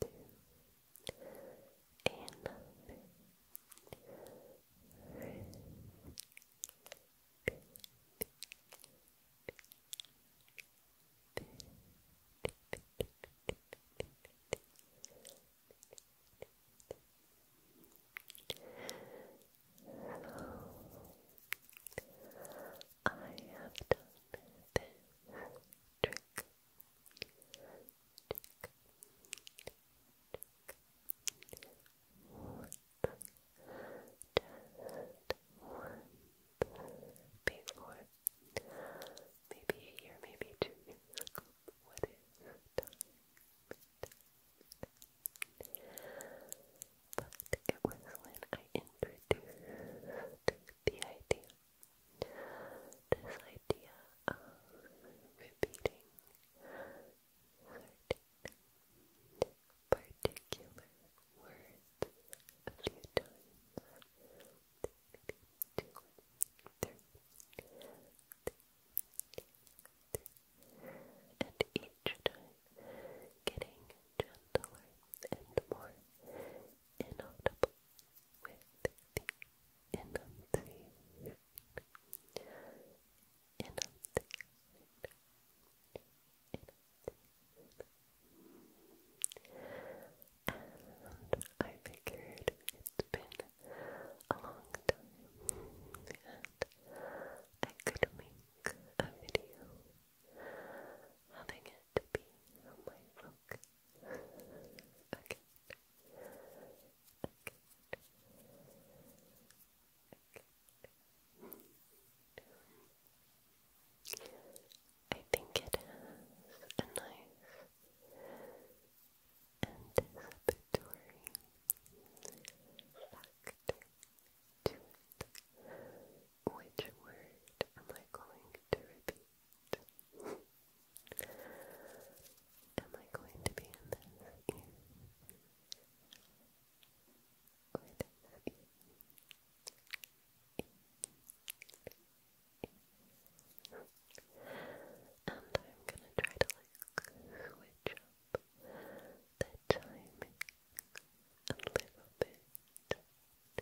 two, another three, maybe four, maybe a year, maybe two years ago. But it was when I introduced the idea, this idea of repeating particular words a few times, two, three, and each time getting gentler and more inaudible with the enunciation. And I figured it's been a long time and I could make a video having it be my focus okay. Okay. I think it has a nice anticipatory factor to Which word am I going to repeat? Am I going to be in this And I'm gonna try to like switch up the timing a little bit.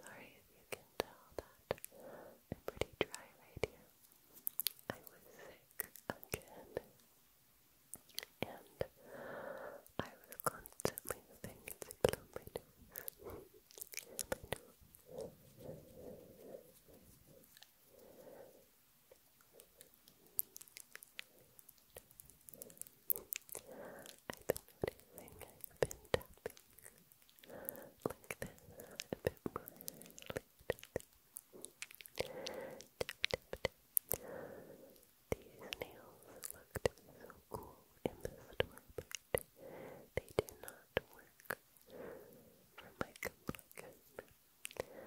Sorry if you can tell that I'm pretty dry right here. I was sick again, and I was constantly having to blow my nose. I've been noticing I've been tapping like this a bit more These nails looked so cool in the store, but they did not work for my complexion. They did not.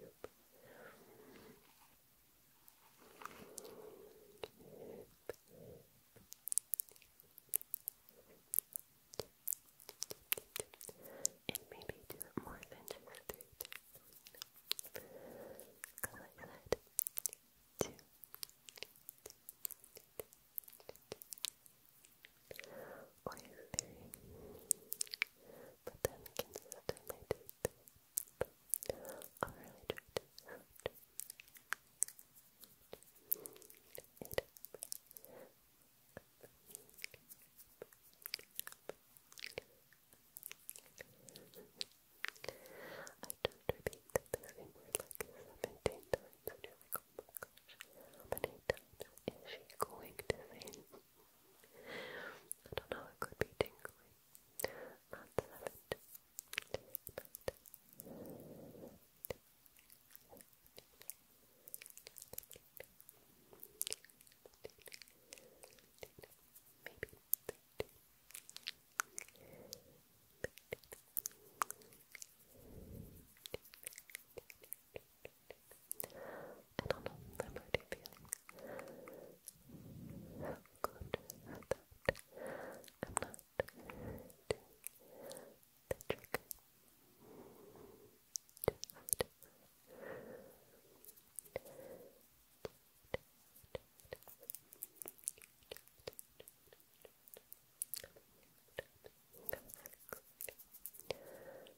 Yep. And maybe do it more than just three Go like Two. Or three but then consistently I don't repeat the same word like 17 times you oh my gosh, how many times is she going to say I don't know, it could be tingly. Not seven. Maybe. I don't know, I'm already feeling so that I'm not doing the trick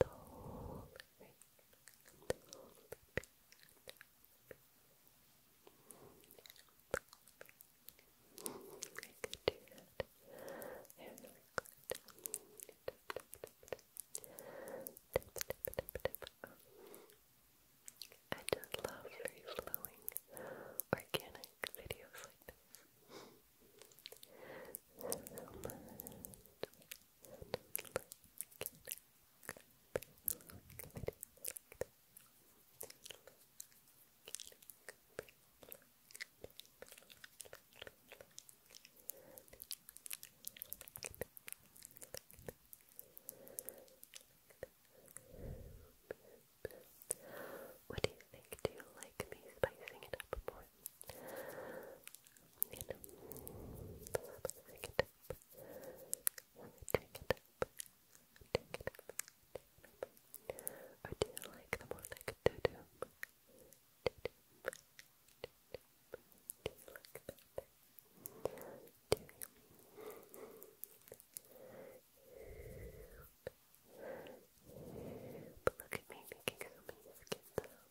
the whole I do that. Very flowing organic videos like this. What do you think? Do you like me spicing it up more? You know, pick it up, take it up, take it up, take it up. Or do you like them more like a do-do? Do-do, do you like that? Do you? But look at me making so many skin sounds.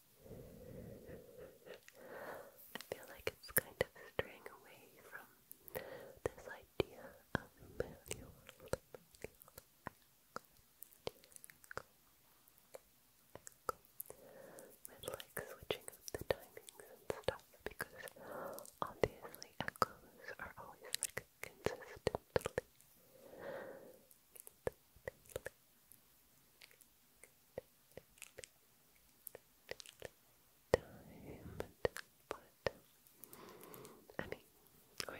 I feel like it's kind of straying away from this idea of Emmanuel. like switching the timings and stuff because obviously echoes are always like consistently time, but I mean, we're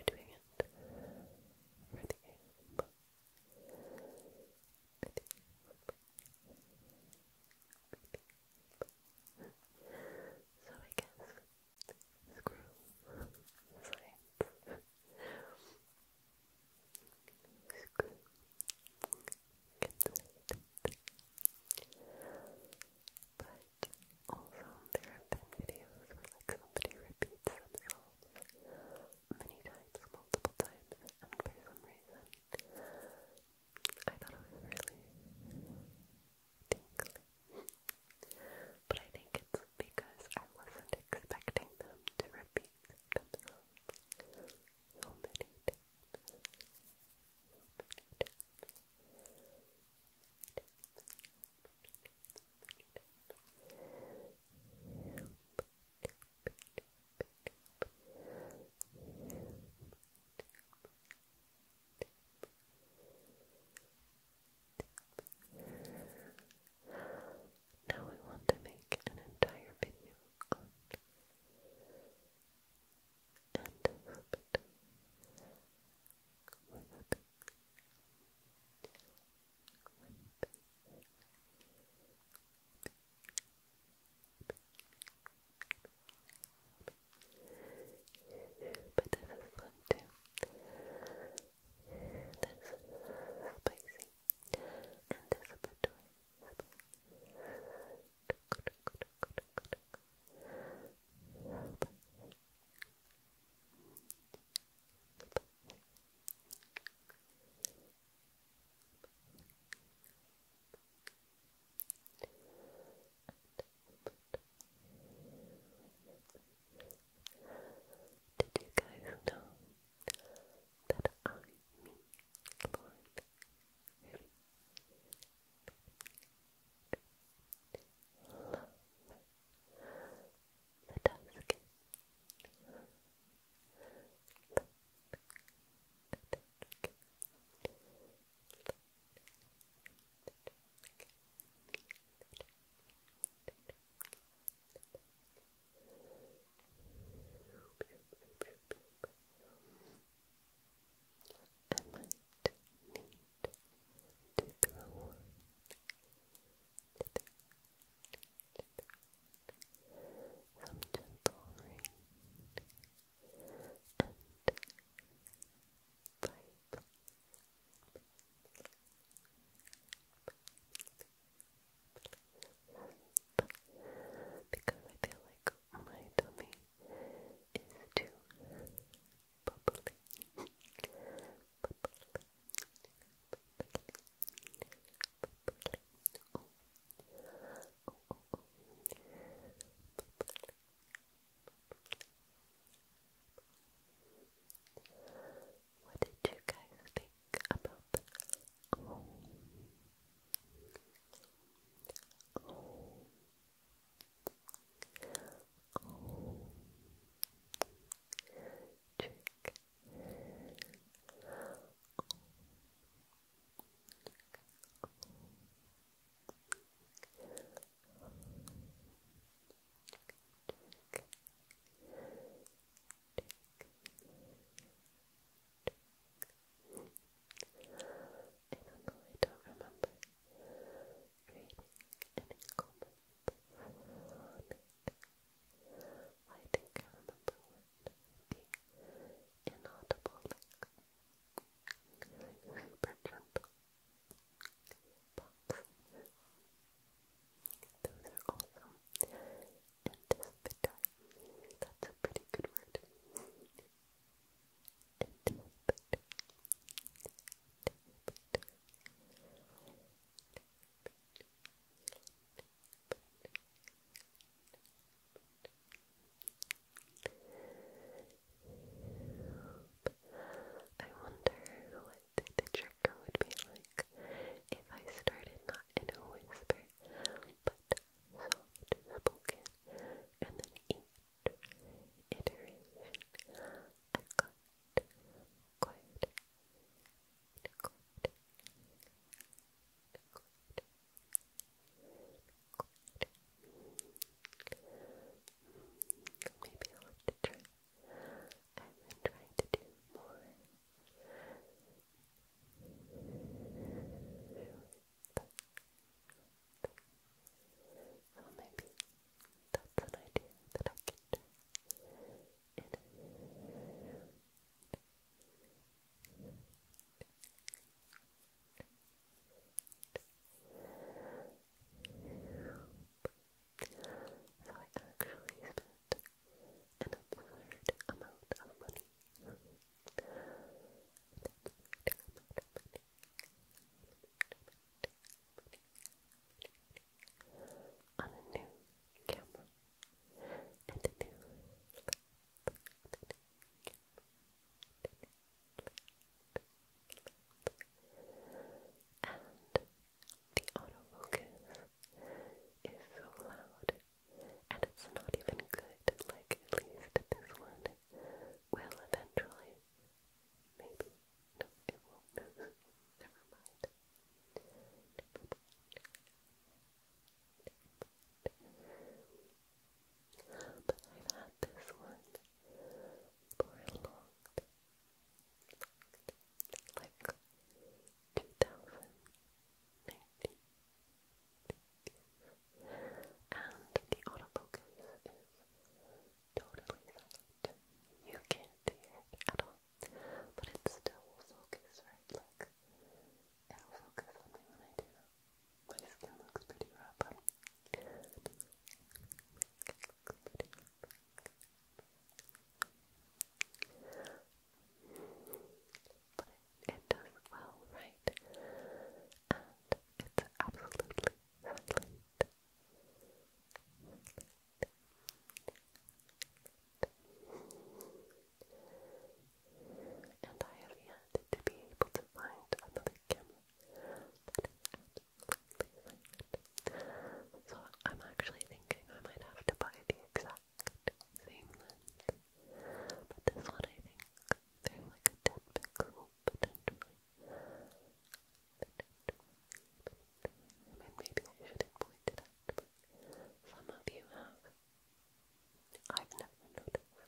doing it So I guess screw science. But also there have been videos where like somebody repeats themselves many times, multiple times, and for some reason I thought it was really tingly. But I think it's because I wasn't expecting them to repeat themselves so many Now we want to make an entire video and flip it with this is spicy and this a bit dry. Did you guys know that I, me, Lauren, Love the dusk. I might need to throw one. Some gentle rain and pipe because I feel like my tummy is too bubbly. What did you guys think about that. Check. I don't remember reading any comments on it. I think I remember when inaudible, like, like gentle box. Those are awesome. Anticipatory. That's a pretty good word. I wonder what the trigger would be like if I started not in a whisper, but soft spoken, and then each iteration I got quite, quite, quite, quite. Maybe I'll have to try. I've been trying to do more so maybe that's an idea that I could do in a so I an absurd amount of money. On a new camera and a new laptop. And the autofocus is so loud and it's not even good, like at least this one will eventually. Maybe. No, it won't. Never mind. But I've had this one for a long Like 2019. And the autofocus is totally silent. You can't hear it at all. But it still will right? Look. It'll focus on when I do. My skin looks pretty rough. Huh? But it, does well, right? And it's absolutely silent. And I have yet to be able to find another camera So I'm actually thinking I might have to buy the exact same But this one, I think they're like a 10 pixel potentially. I mean, maybe I shouldn't it some of you have. I've never noticed.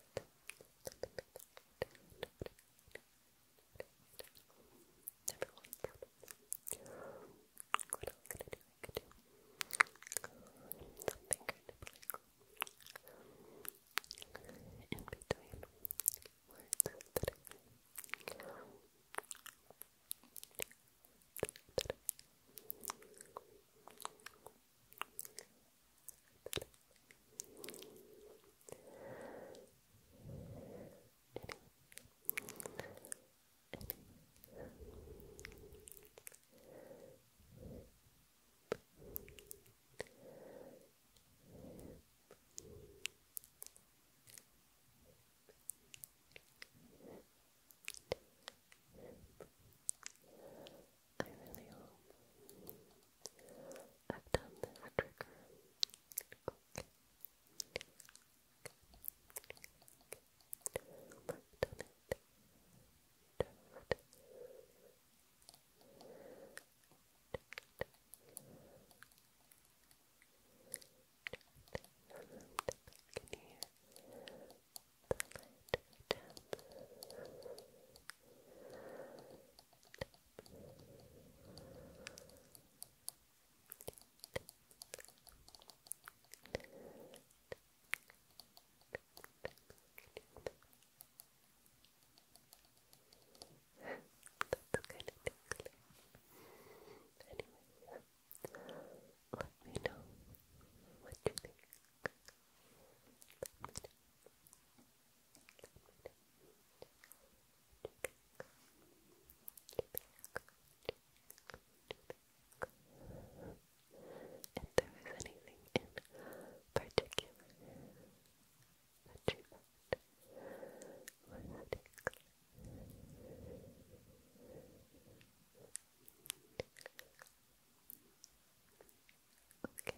Never once. What else something kind of like in between words I really hope I've done this trigger. Worked on it. Turfed. Can you hear the light tap? Tap. That's kind of tickly. Anyway, let me know what you think if there was anything in particular that you thought Okay.